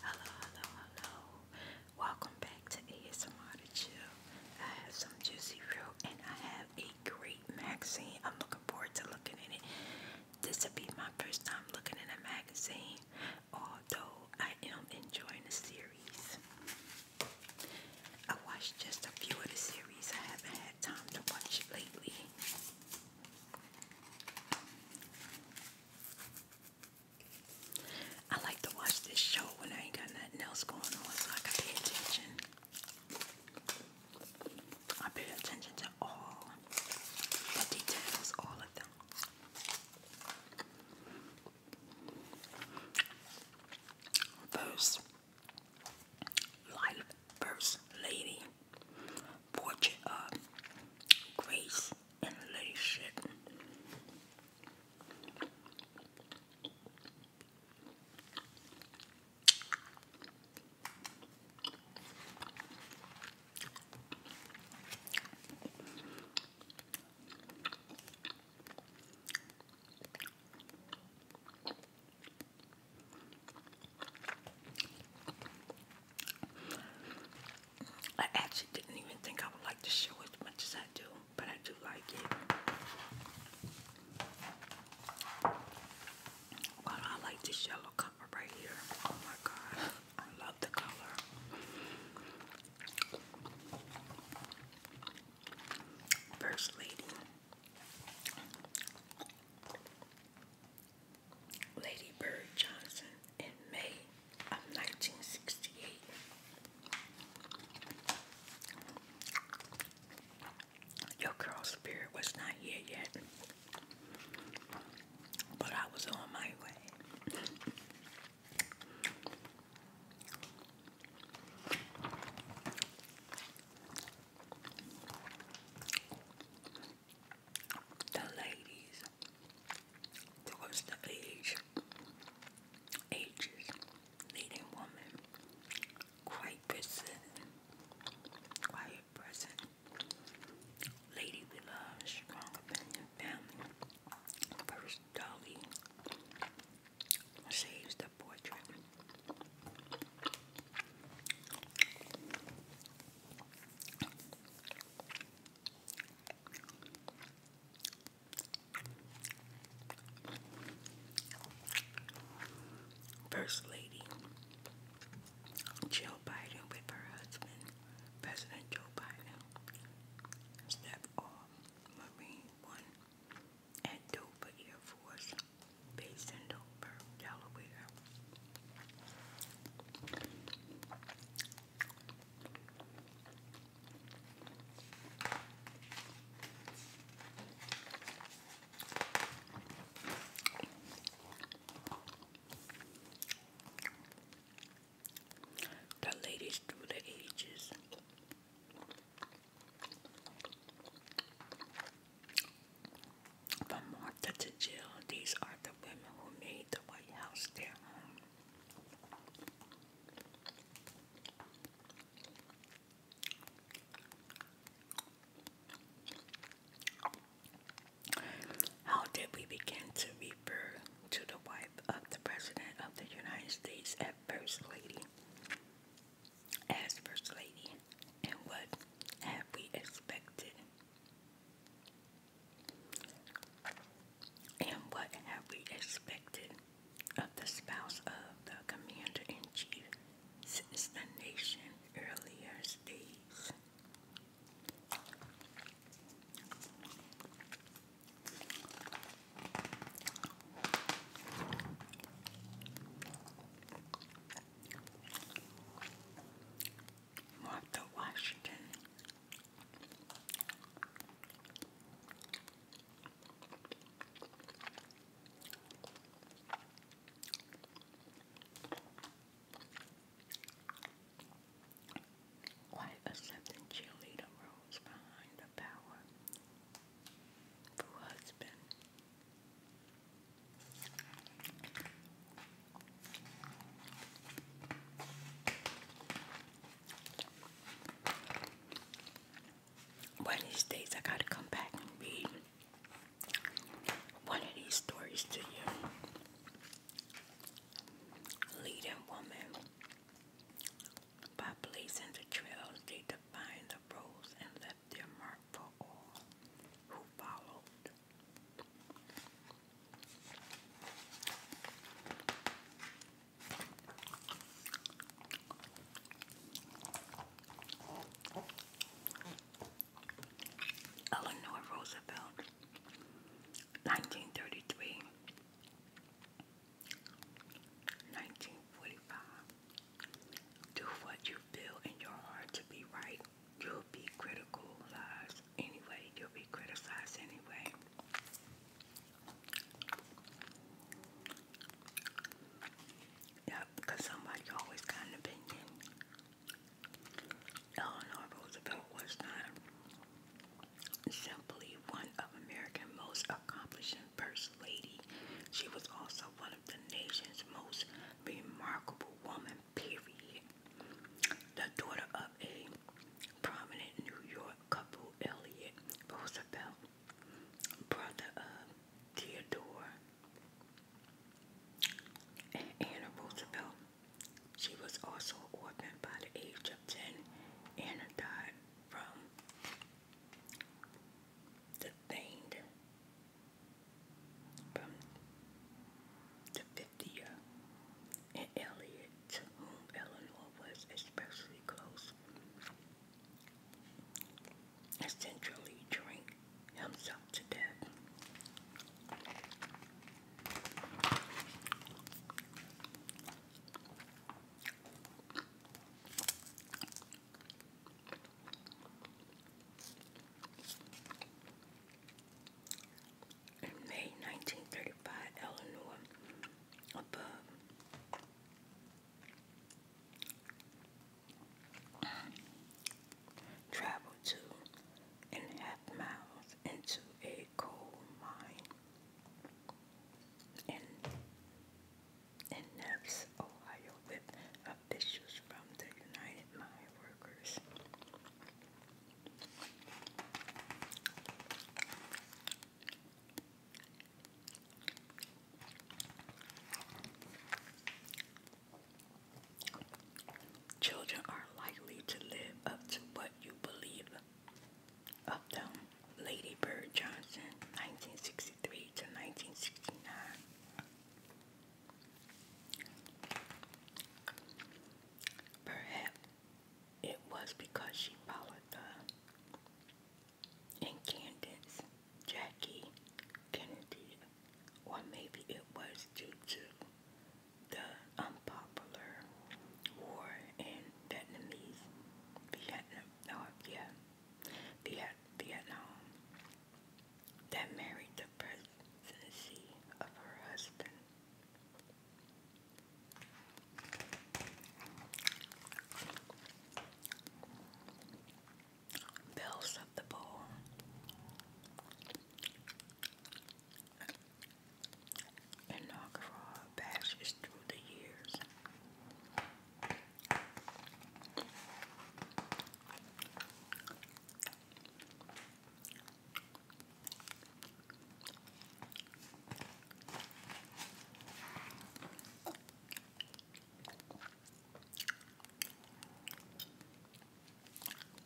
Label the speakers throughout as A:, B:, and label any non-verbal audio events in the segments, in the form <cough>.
A: Hello, hello, hello. Welcome back to ASMR to Chill. I have some juicy fruit and I have a great magazine. I'm looking forward to looking in it. This will be my first time looking in a magazine, although I am enjoying the series. I watched just a few of the series. I haven't had time to watch lately. I like to watch this show when I ain't got nothing else going on so I can pay attention. I pay attention to all the details, all of them. First, life, first lady portrait of uh, grace and leadership. I actually didn't even think I would like the show as much as I do, but I do like it. Well, I like this yellow color right here. Oh my god, I love the color. First lady. Lady Bird Johnson in May of 1968. Your girl's spirit was not here yet, but I was on my way the ladies towards the age ages leading woman quite present quiet present lady we love strong opinion family first dolly saves the portrait First Lady Jill Biden with her husband, President Joe Biden, step off Marine One at Dover Air Force Base in Dover, Delaware. The ladies through the ages. From Martha to Jill, these are the women who made the White House their home. How did we begin to refer to the wife of the President of the United States as First Lady? As First Lady, and what have we expected? And what have we expected of the spouse of the commander in chief since the nation's earliest days? Martha Washington. Quite a something cheerleader rose behind the power of her husband one of these days, I gotta come back and read one of these stories to you. Leading woman, by blazing the trails, they defined the roads and left their mark for all who followed. Eleanor oh, Roosevelt, nineteen thirty three, nineteen forty five. Do what you feel in your heart to be right you'll be criticalized anyway. You'll be criticized anyway. Yeah, somebody always got an opinion. Eleanor Roosevelt was simply one of America's most accomplishing first lady. She was also one of the nation's most remarkable women Perry, the daughter of a prominent New York couple, Elliot Roosevelt, brother of Theodore and Anna Roosevelt. She was also orphaned by the age of 10. Anna died from the thing the 50 and Eliot, to whom Eleanor was especially close, essentially drank himself to death in May 1935, Eleanor above. Traveled two and a half miles into a coal mine in, in Nevis, Ohio, with officials from the United Mine Workers Children are likely to live up to what you believe of them. Lady Bird Johnson, 1963 to 1969. Perhaps it was because she followed the incandescent Jackie Kennedy, or maybe it was due to the unpopular war in Vietnamese Vietnam, no, yeah, Viet, Vietnam that married the pres the obstinacy of her husband. Bells of the Bowl. Inaugural bashes through the years.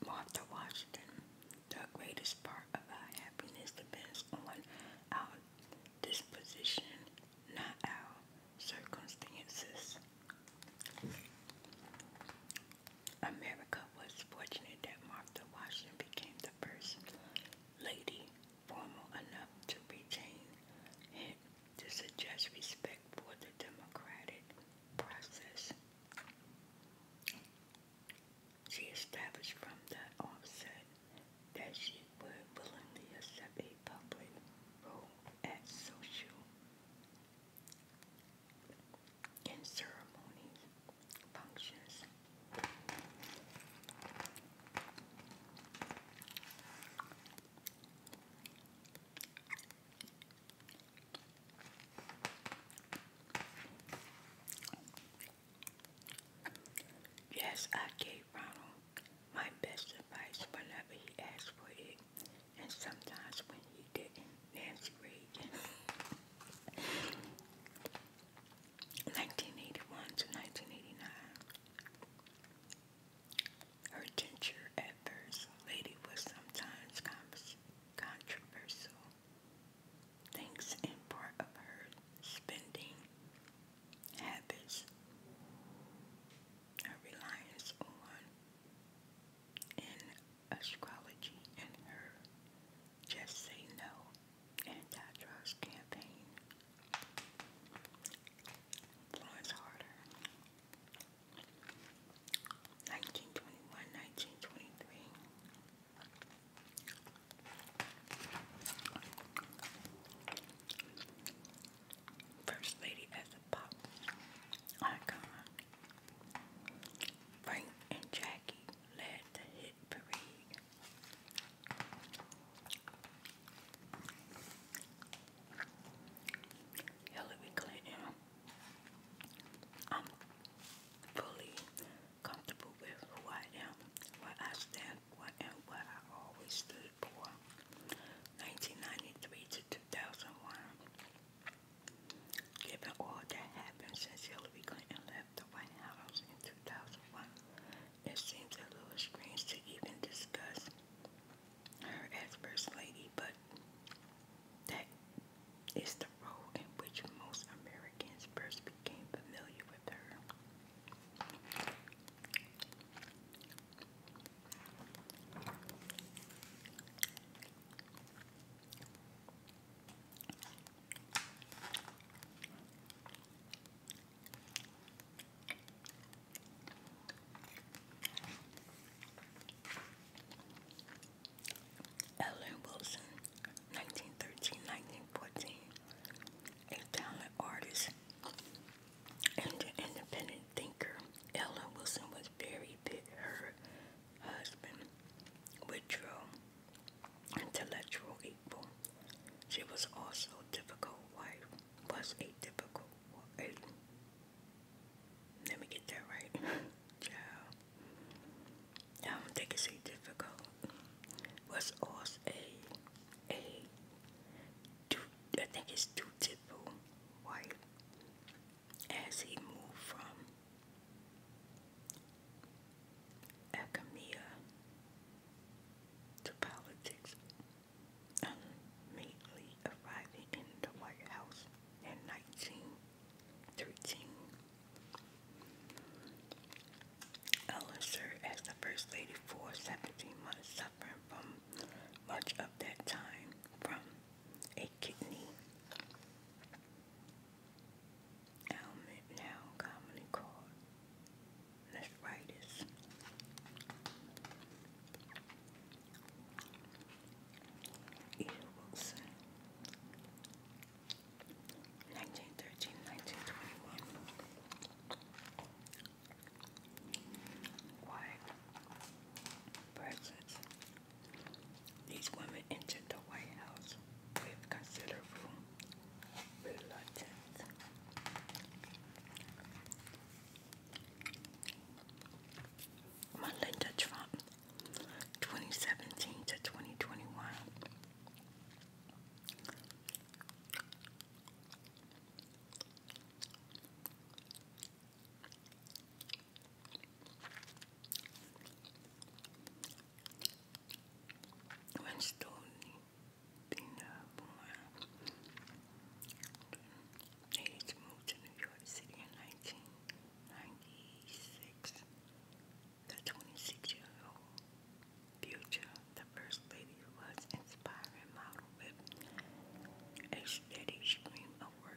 A: Martha Washington, the greatest part of our happiness depends on our disposition, not our circumstances. America was fortunate that Martha Washington became the first lady formal enough to retain it to suggest respect for the democratic process. She established from that offset that she would willingly accept a public role as social in ceremonies, functions. Yes, I gave Ronald my best advice whenever he asked for it and sometimes when he didn't, Nancy Reagan. 1981 to 1989. Her tenure at First Lady was sometimes controversial, thanks in part of her spending habits, her reliance on in astrology and her Just Say No anti-drugs campaign. Florence Harder. 1921 Lady the pop icon. Frank and Jackie led the hit parade. Hillary Clinton, I'm fully comfortable with who I am, what I stand for, and what I always stood for. 1993 to 2001. Given all that happened since Hillary Clinton left the White House in 2001, it seems a little strange to even discuss her as First Lady, but that is the role in which most Americans first became familiar with her. Ellen Wilson, 1913 a talented artist and an independent thinker. Ellen Wilson was was very big. Her husband withdrew intellectual people. She was also difficult wife. Was a difficult wife. Let me get that right. Child. <laughs> I don't think it's a difficult. Was also a think it's dutiful wife as he moved from academia to politics, immediately arriving in the White House in 1913. Ellen as the First Lady for 17 months, suffering from much of that time from a kidney. Ailment now commonly called nephritis. Edith Wilson, 1913, 1921. These women entered the White House with considerable reluctance. Melinda Trump, 2017 to 2021. When Stoney Pina born, Nate moved to New York City in 1996. The 26 year old future, the first lady was inspiring model with a steady stream of work.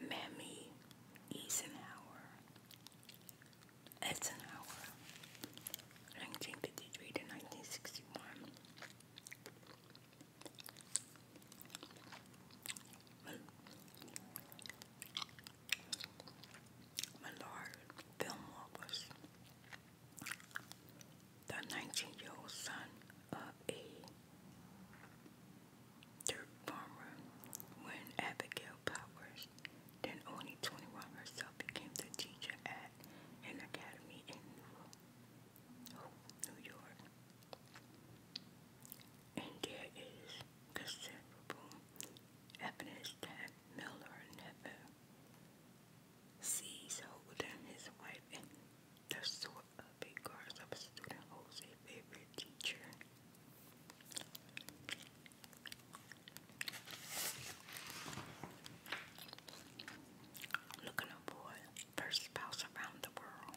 A: Mammy Eisenhower, Eisenhower, 1953 to 1961. Millard Fillmore was the 19 year old son of a Third farmer, when Abigail Powers, then only 21 herself, became the teacher at an academy in New, oh, New York. And there is considerable evidence that Miller never sees Holden, his wife, and the sort of a guards of a student Jose favorite teacher. Looking aboard first spouse around the world.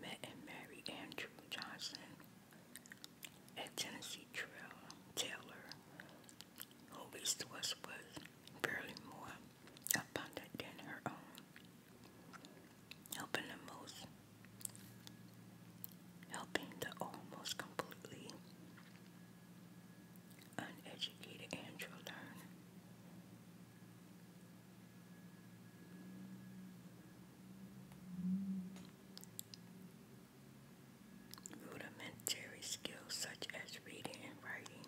A: met and married Andrew Johnson at Tennessee Trail Taylor, who his was was barely more abundant than her own, helping the most, helping the almost completely uneducated Andrew learn Rudimentary skills such as reading and writing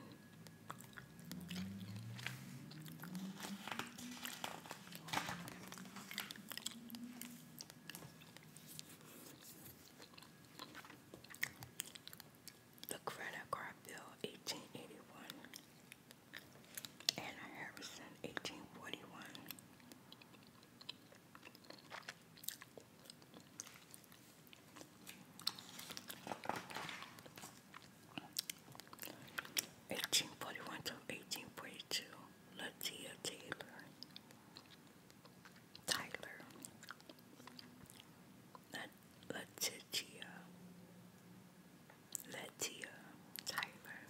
A: the credit card bill 1881 and Harrison 1841. Eighteen forty one to eighteen forty two, Latia Taylor, Tyler, Letitia, Letitia Tyler.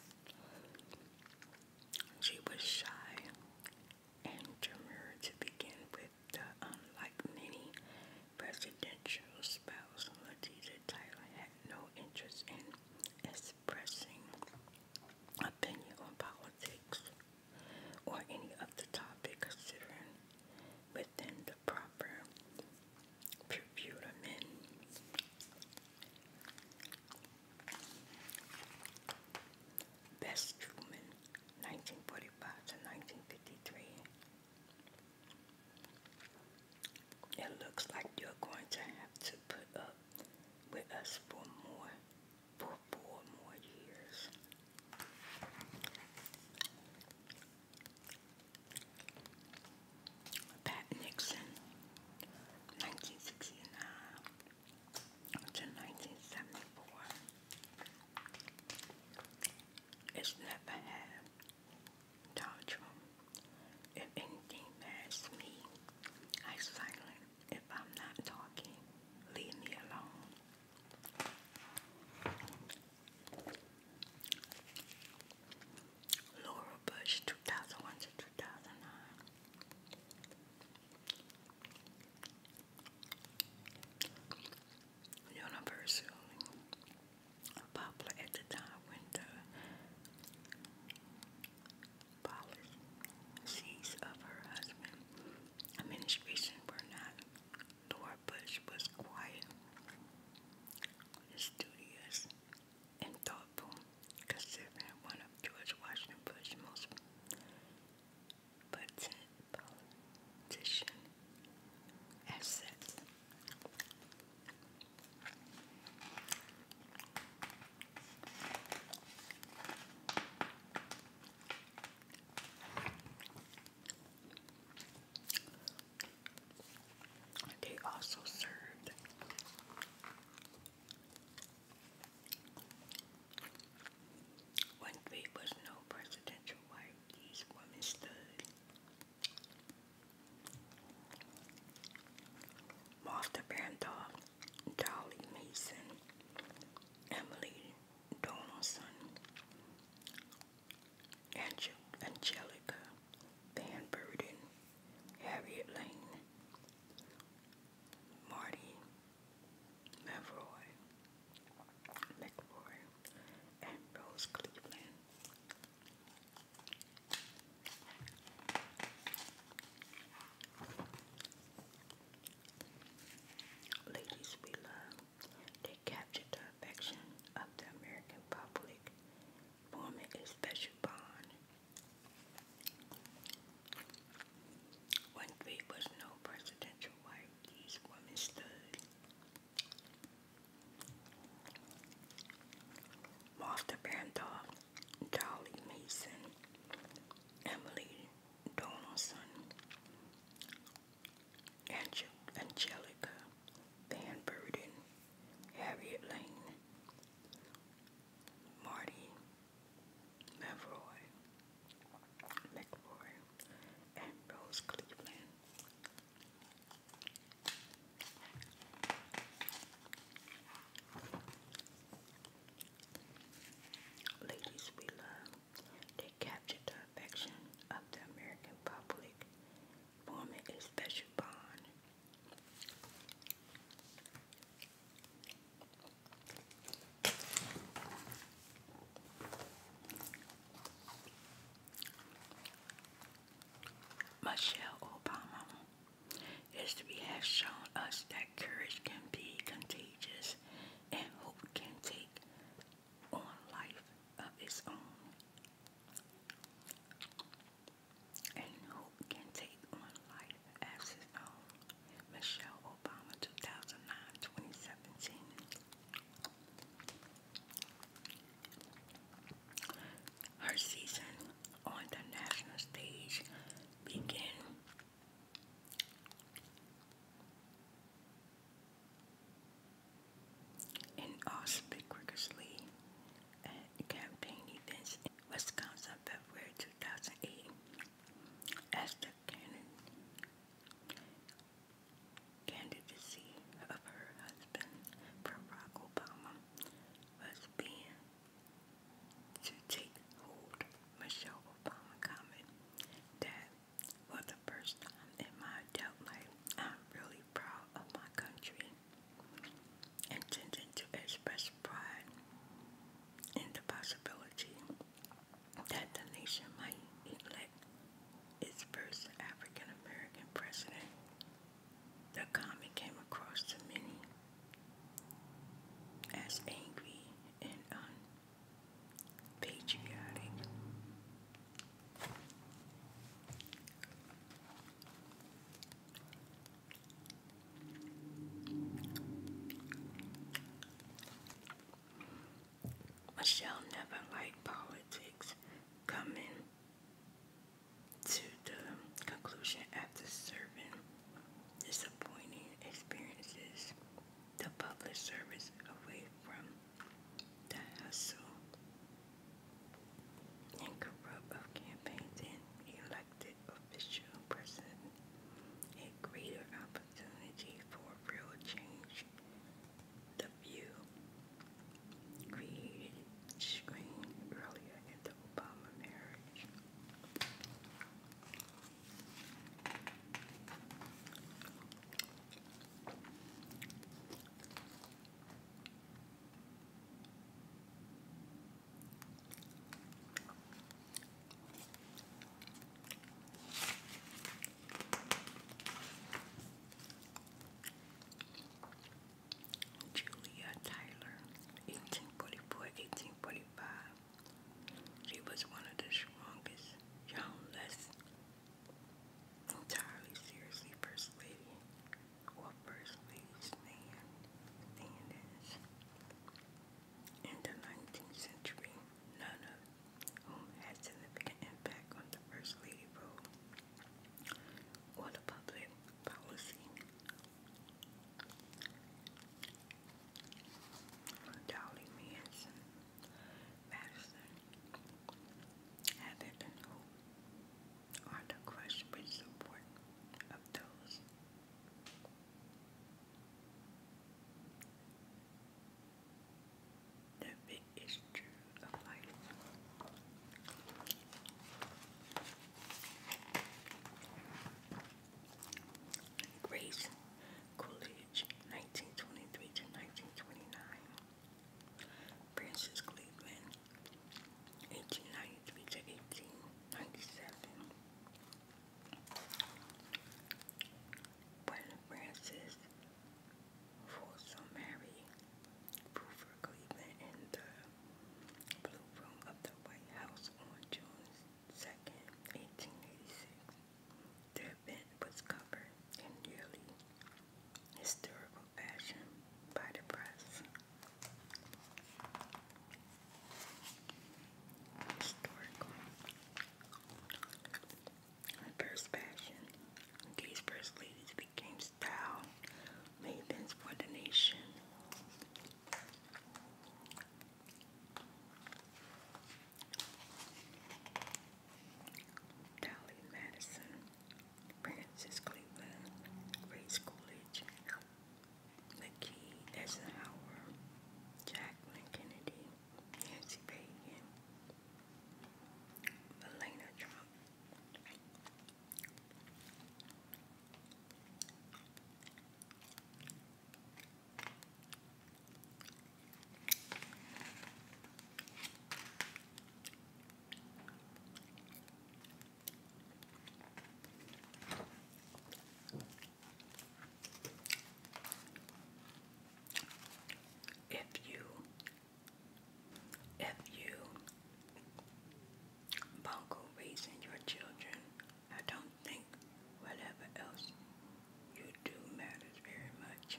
A: She was shy and demure to begin with, though unlike many presidential spouses, Letitia Tyler had no interest in expressing opinion on politics or any other topic considering within the proper purpuramin. Best Truman, 1945 to 1953. It looks like you're going to have to put up with us for more, for four more years. Pat Nixon, 1969 to 1974. It's never had tantrum. If anything matters me, I silent. If I'm not talking, leave me alone. Laura Bush, 2001 to 2009. Universal, popular at the time when the policies of her administration were not Dorbush was quiet, studious, and thoughtful, considering one of George Washington Bush's most politician assets. They also served when there was no presidential wife, these women stood. Martha Randolph, Dolly Mason, Emily Donaldson, Angel Angelica Van Burden, Harriet Lane, Marty Mavroy, McRoy, and Rose Cleveland. Ladies we love. They captured the affection of the American public, forming a special bond. When there was no presidential wife, these women stood. Martha Randolph, Dolly Mason, Emily Donaldson, Angel Angelica Van Burden, Harriet Lane, Marty Mavroy, McRoy, and Rose Cleveland. Ladies we love. They captured the affection of the American public, forming a special bond. Michelle Obama history has shown us that courage can be contagious and hope can take on life of its own. And who can take on life as his own? Michelle Obama, 2009, Her season on the national stage began and also vigorously at uh, campaign events in Wisconsin February 2008 as the candidacy of her husband, Barack Obama, was being to take hold. Michelle Obama commented that for the first time in my adult life, I'm really proud of my country, intending to express pride in the possibility that the nation might elect its first African American president. The comment came across to many as angry and un patriotic. Michelle never liked politics, coming to the conclusion after serving disappointing experiences, the public service away from that I and corrupt of campaigns and elected official president a greater opportunity for real change. The view created screen earlier in the Obama marriage. Julia Tyler, 1844, She was one of the strongest, young, less entirely seriously First Lady or First Lady stand, In the 19th century, none of whom had significant impact on the First Lady role or the public policy. Dolly Madison, Madison Having and are the crush with support of those the big issue of life. Grace Coolidge, 1923 to 1929. Francis Cleveland, 1893 to 1897. When Francis Folsom Mary Proofer Cleveland in the Blue Room of the White House on June 2nd, 1886. The event was covered in nearly historical fashion by the press. Historical. first fashion, these first ladies became style mavens for the nation. Dolly Madison, Francis Cleveland, Grace Coolidge, McKee Eisenhower, Jacqueline Kennedy, Nancy Reagan, Elena Trump, if you, if you bungle raising your children, I don't think whatever else you do matters very much.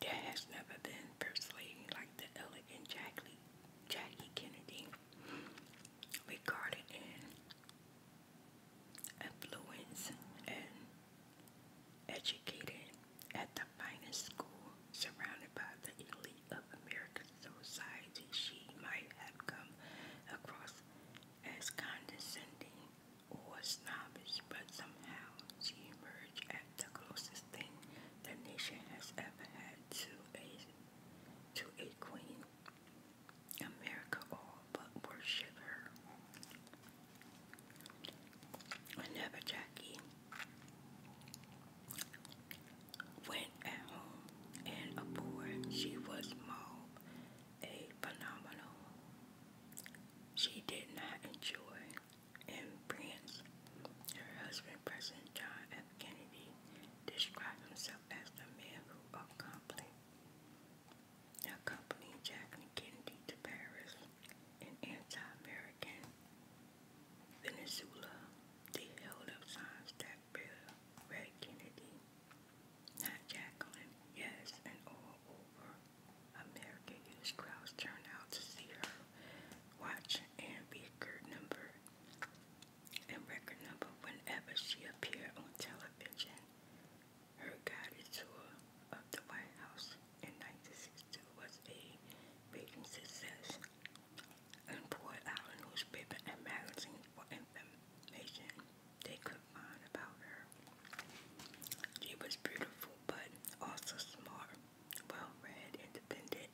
A: There has never been first lady like the elegant Jackie, Kennedy, regarded in affluence and educated at the finest school, surrounded by the elite of American society. She might have come across as condescending or snobbish, but somehow she emerged as the closest thing the nation has ever had to a to a queen. America all but worship her. Whenever Jackie went at home and aboard, she was Mob, a phenomenal she did not enjoy in Prince. Her husband, President John F. Kennedy, described himself as the man who accompanied, accompanied Jacqueline Kennedy to Paris, an anti-American. Venezuela, they held up signs that read Kennedy not Jacqueline. Yes, and all over America, huge crowds turned out to see her watch and record number and record number whenever she appeared on television. Her guided tour of the White House in 1962 was a big success and poured out a newspaper and magazine for information. They couldn't about her. She was beautiful, but also smart, well-read, independent,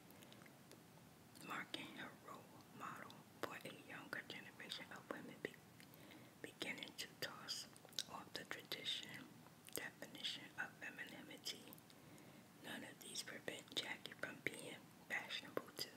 A: marking a role model for a younger generation of women beginning to toss off the tradition definition of femininity. None of these prevent Jackie from being fashionable too.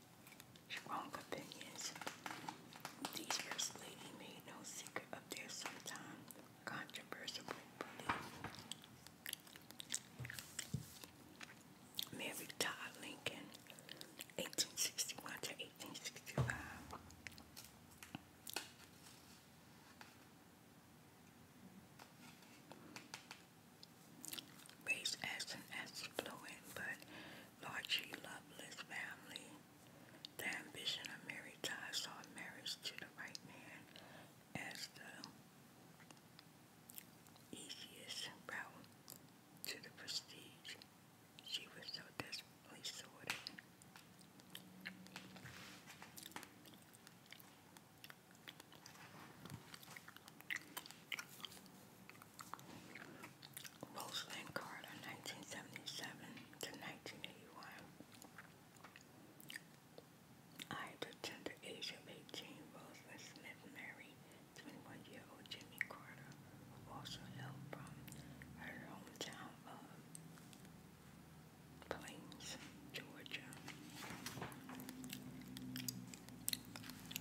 A: strong opinions. These first lady made no secret of their sometimes controversial belief. Mary Todd Lincoln, 1861 to 1865. Raised as an affluent but Lord G. family. The ambition of Mary Ty saw marriage to the right man as the easiest route to the prestige she was so desperately sought. Rosalind Carter, 1977 to 1981. I, the tender age of 18, Rosalind Smith married 21-year-old Jimmy Carter, who also hailed from her hometown of Plains, Georgia.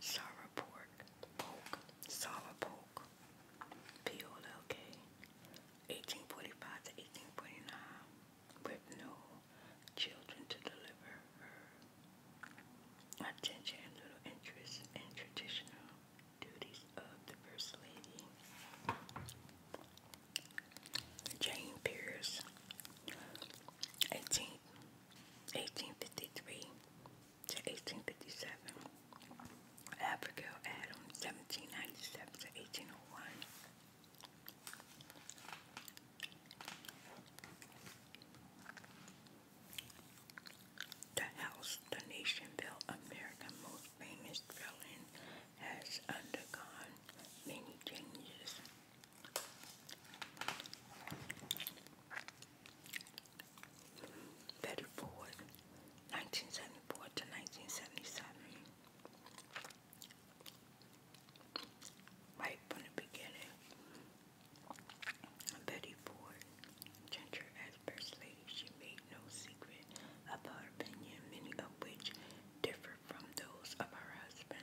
A: Sarah Pork, Polk, Sarah Polk, P-O-L-K, 1845 to 1849, with no children to deliver her attention and little interest in traditional duties of the First Lady. Jane Pierce, 18 1853 to 1857. Abigail Adams, 1797 to 1801. The house the nation built America's most famous building, has undergone many changes Betty Ford, 1974 to 1977. Right from the beginning, Betty Ford, Ginger as Persley, she made no secret about her opinion, many of which differed from those of her husband.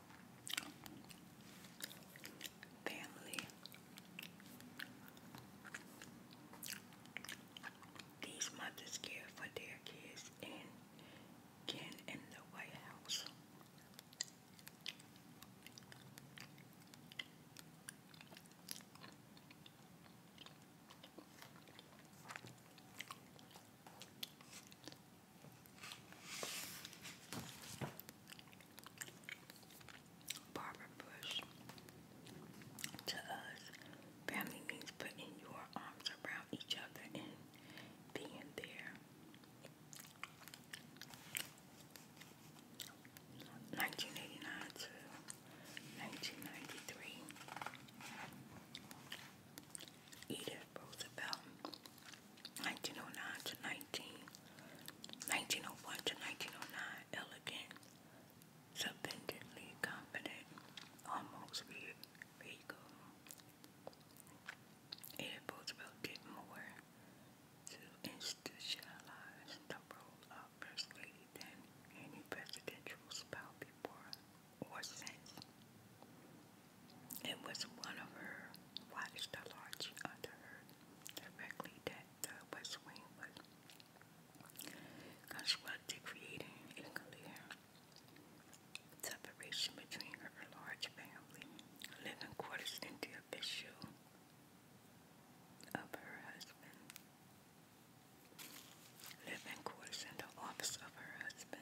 A: family. These mothers care for their kids and can in the White House. Barbara Bush. To us, family means putting your arms around each other and being there. 1989 to 1993. Edith Roosevelt 1909 to 19, to 1909, elegant, splendidly confident, almost regal. Roosevelt did more to institutionalize the role of First Lady than any presidential spouse before or since. It was one of her widest the under her directly that the West Wing was constructed, creating a separation between her large family, living quarters, and the official of her husband. Living quarters in the office of her husband.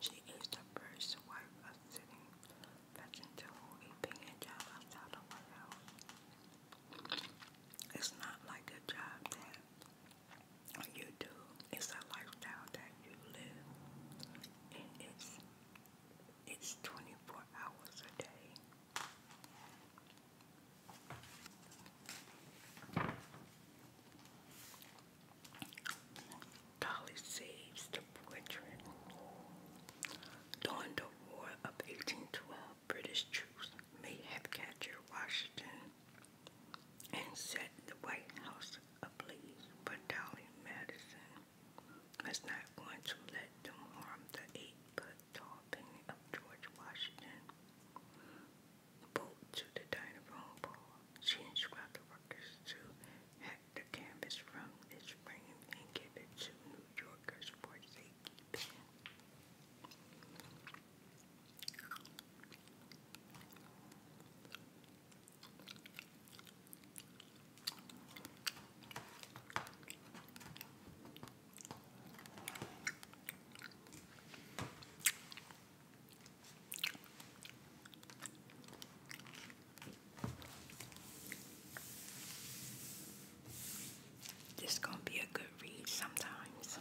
A: She is the first wife of sitting president to a paying job outside the White House. It's not like a job that you do. It's a lifestyle that you live. And it's it's 24 hours a day. Dolly saves the poetry. During the War of 1812, British troops may have captured Washington and set the White House ablaze, but Dolly Madison was not going to let them harm the eight-foot tall painting of George Washington. Bolt to the dining room floor, she instructed workers to the canvas from this frame and give it to New Yorkers for safekeeping. This gonna be a good read sometimes.